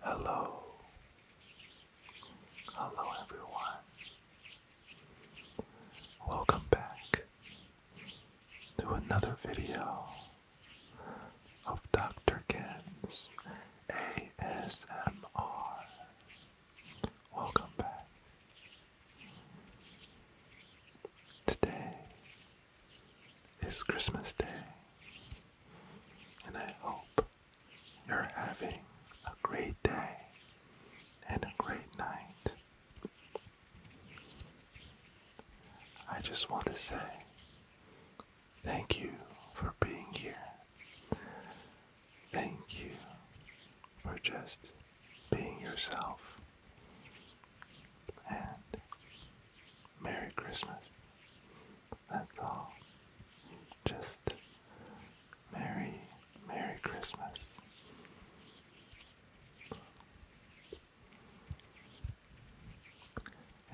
Hello, hello everyone. Welcome back to another video of Dr. Ken's ASMR. Welcome back. Today is Christmas Day, and I hope you're having a great day and a great night. I just want to say thank you for being here. Thank you or just being yourself. And Merry Christmas. That's all. Just Merry, Merry Christmas.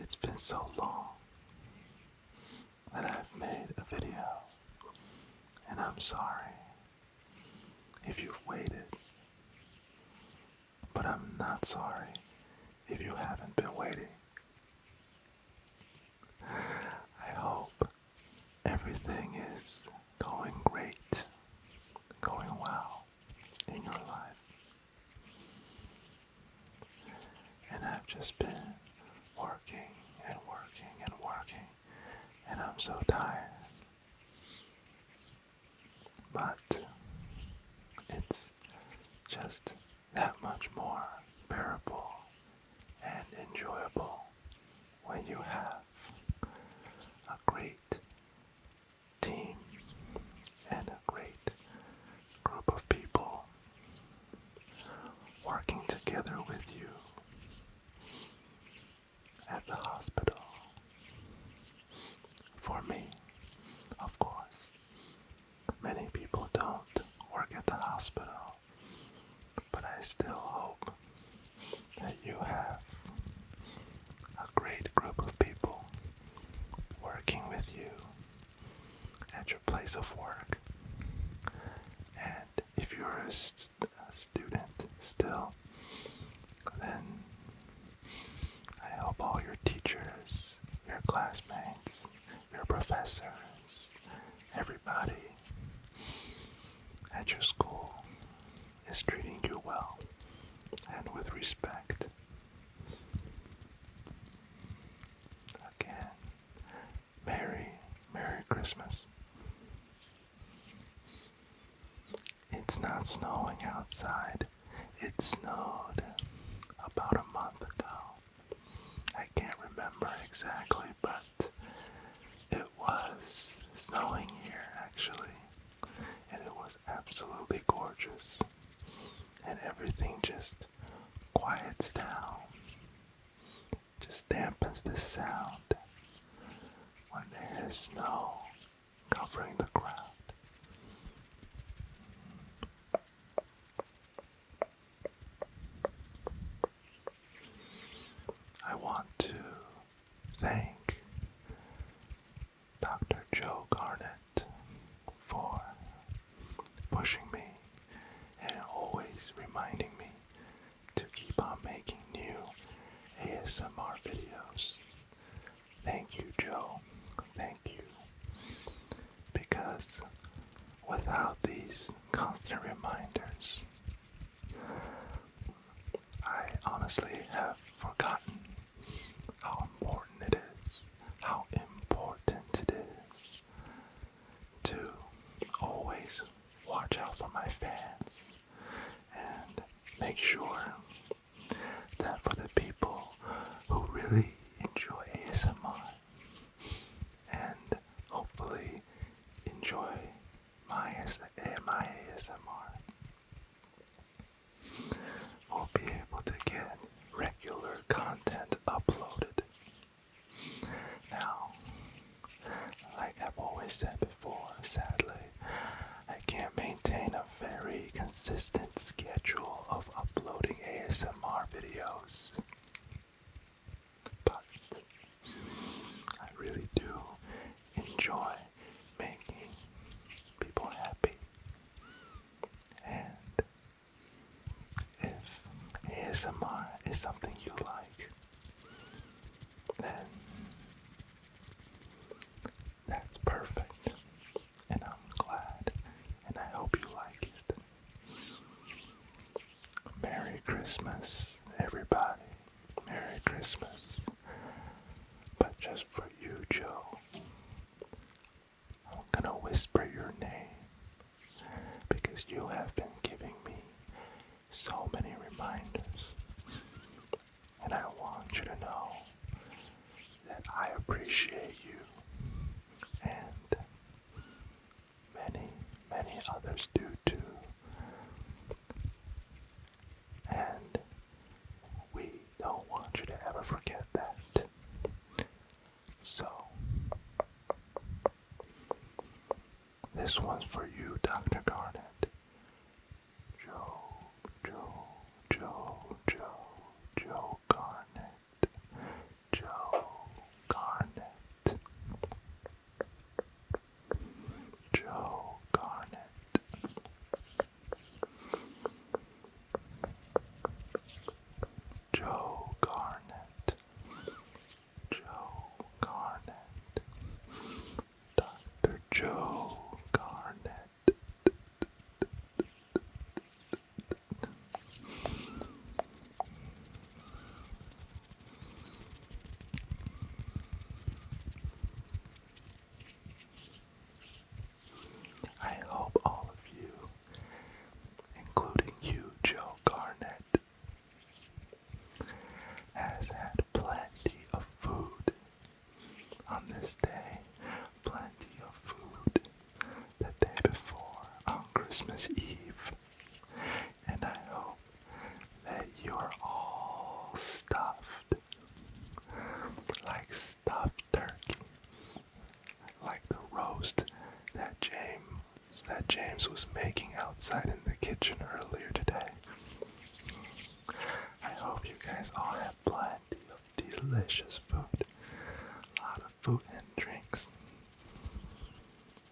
It's been so long that I've made a video, and I'm sorry if you've waited. But I'm not sorry if you haven't been waiting. I hope everything is going great, going well in your life. And I've just been working and working and working and I'm so tired. But it's just that much more bearable and enjoyable when you have a great team and a great group of people working together with you at the hospital. For me, of course. Many people don't work at the hospital, but I still hope that you have a great group of people working with you at your place of work and if you're a, student still, then I hope all your teachers, your classmates, your professors, everybody at your school is treating you well and with respect. Again, Merry, Merry Christmas. It's not snowing outside. It snowed about a month ago. I can't remember exactly, but it was snowing here actually. And it was absolutely gorgeous. And everything just quiets down just dampens the sound when there is snow covering the ground. I want to thank Dr. Joe Garnett for pushing me and always reminding me to keep on making new ASMR videos. Thank you, Joe. Thank you. Because without these constant reminders, I honestly have forgotten how important it is, how important it is to always watch out for my fans and make sure that for the people who really enjoy ASMR and hopefully enjoy my, my ASMR will be able to get regular content uploaded. Now, like I've always said before, sadly, I can't maintain a very consistent schedule of uploading ASMR videos. But I really do enjoy making people happy. And if ASMR is something you like, then that's perfect. And I'm glad, and I hope you like it. Merry Christmas, everybody. Merry Christmas. But just for you, Joe, I'm gonna whisper your name because you have been giving me so many reminders. And I want you to know that I appreciate you and many, many others do too. And we don't want you to ever forget that. So, this one's for you, Dr. Garnet. Joe, Joe, Joe, Joe, Joe Garnet. Joe Garnet. Joe Garnet. Joe Garnett, Joe Garnett, Dr. Joe Garnett, I hope all of you, including you, Joe Garnett, has had plenty of food on this day, plenty of food the day before on Christmas Eve, and I hope that you're all stuffed like stuffed turkey, like the roast that James that James was making outside in the kitchen earlier today. I hope you guys all have plenty of delicious food, a lot of food and drinks,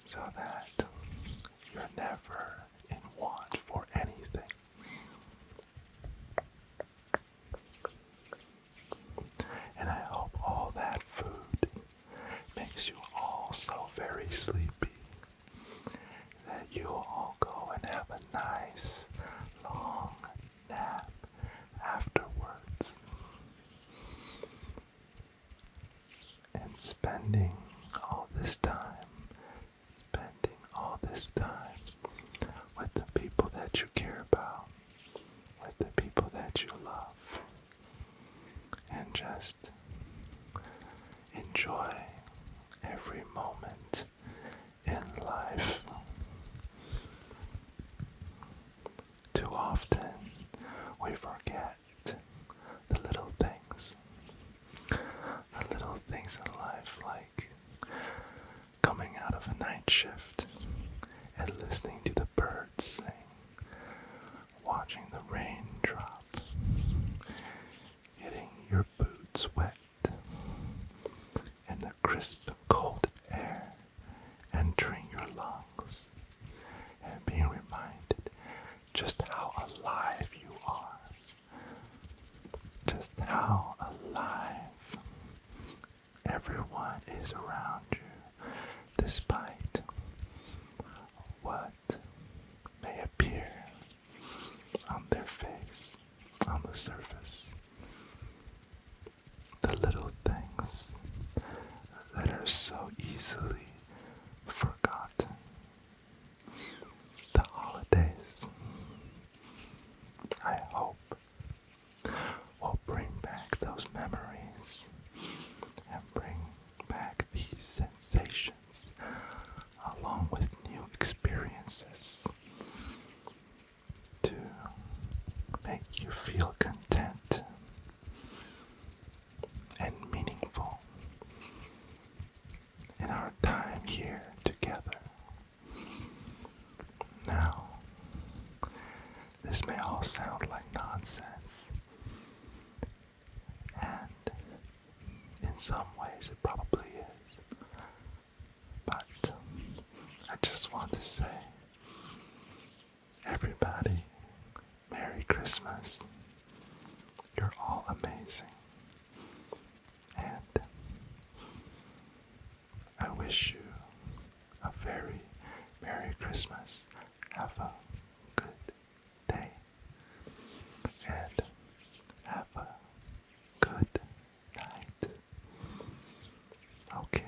so that you're never in want for anything. And I hope all that food makes you all so very sleepy that you all go and have a nice long nap afterwards. And spending all this time spending all this time with the people that you care about, with the people that you love, and just enjoy every moment in life. Too often we forget the little things the little things in life, like coming out of a night shift and listening to the birds sing, watching the rain drop, getting your boots wet, in the crisp, cold air entering your lungs, and being reminded just how alive you are just how alive everyone is around you, despite what may appear on their face, on the surface. The little things that are so easily forgotten the holidays, I hope, will bring back those memories and bring back these sensations along with new experiences to make you feel content and meaningful in our time here together. Now, this may all sound like nonsense, and in some ways it probably is, but I just want to say, everybody, Merry Christmas. You're all amazing. And I wish you a very Merry Christmas. Have a good day. And have a good night. Okay.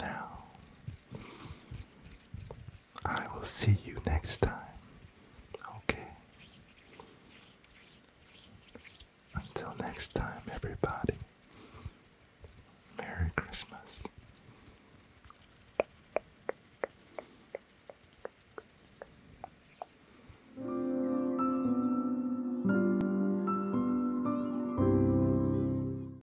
Now, I will see you next time. Okay. Until next time, everybody. Merry Christmas.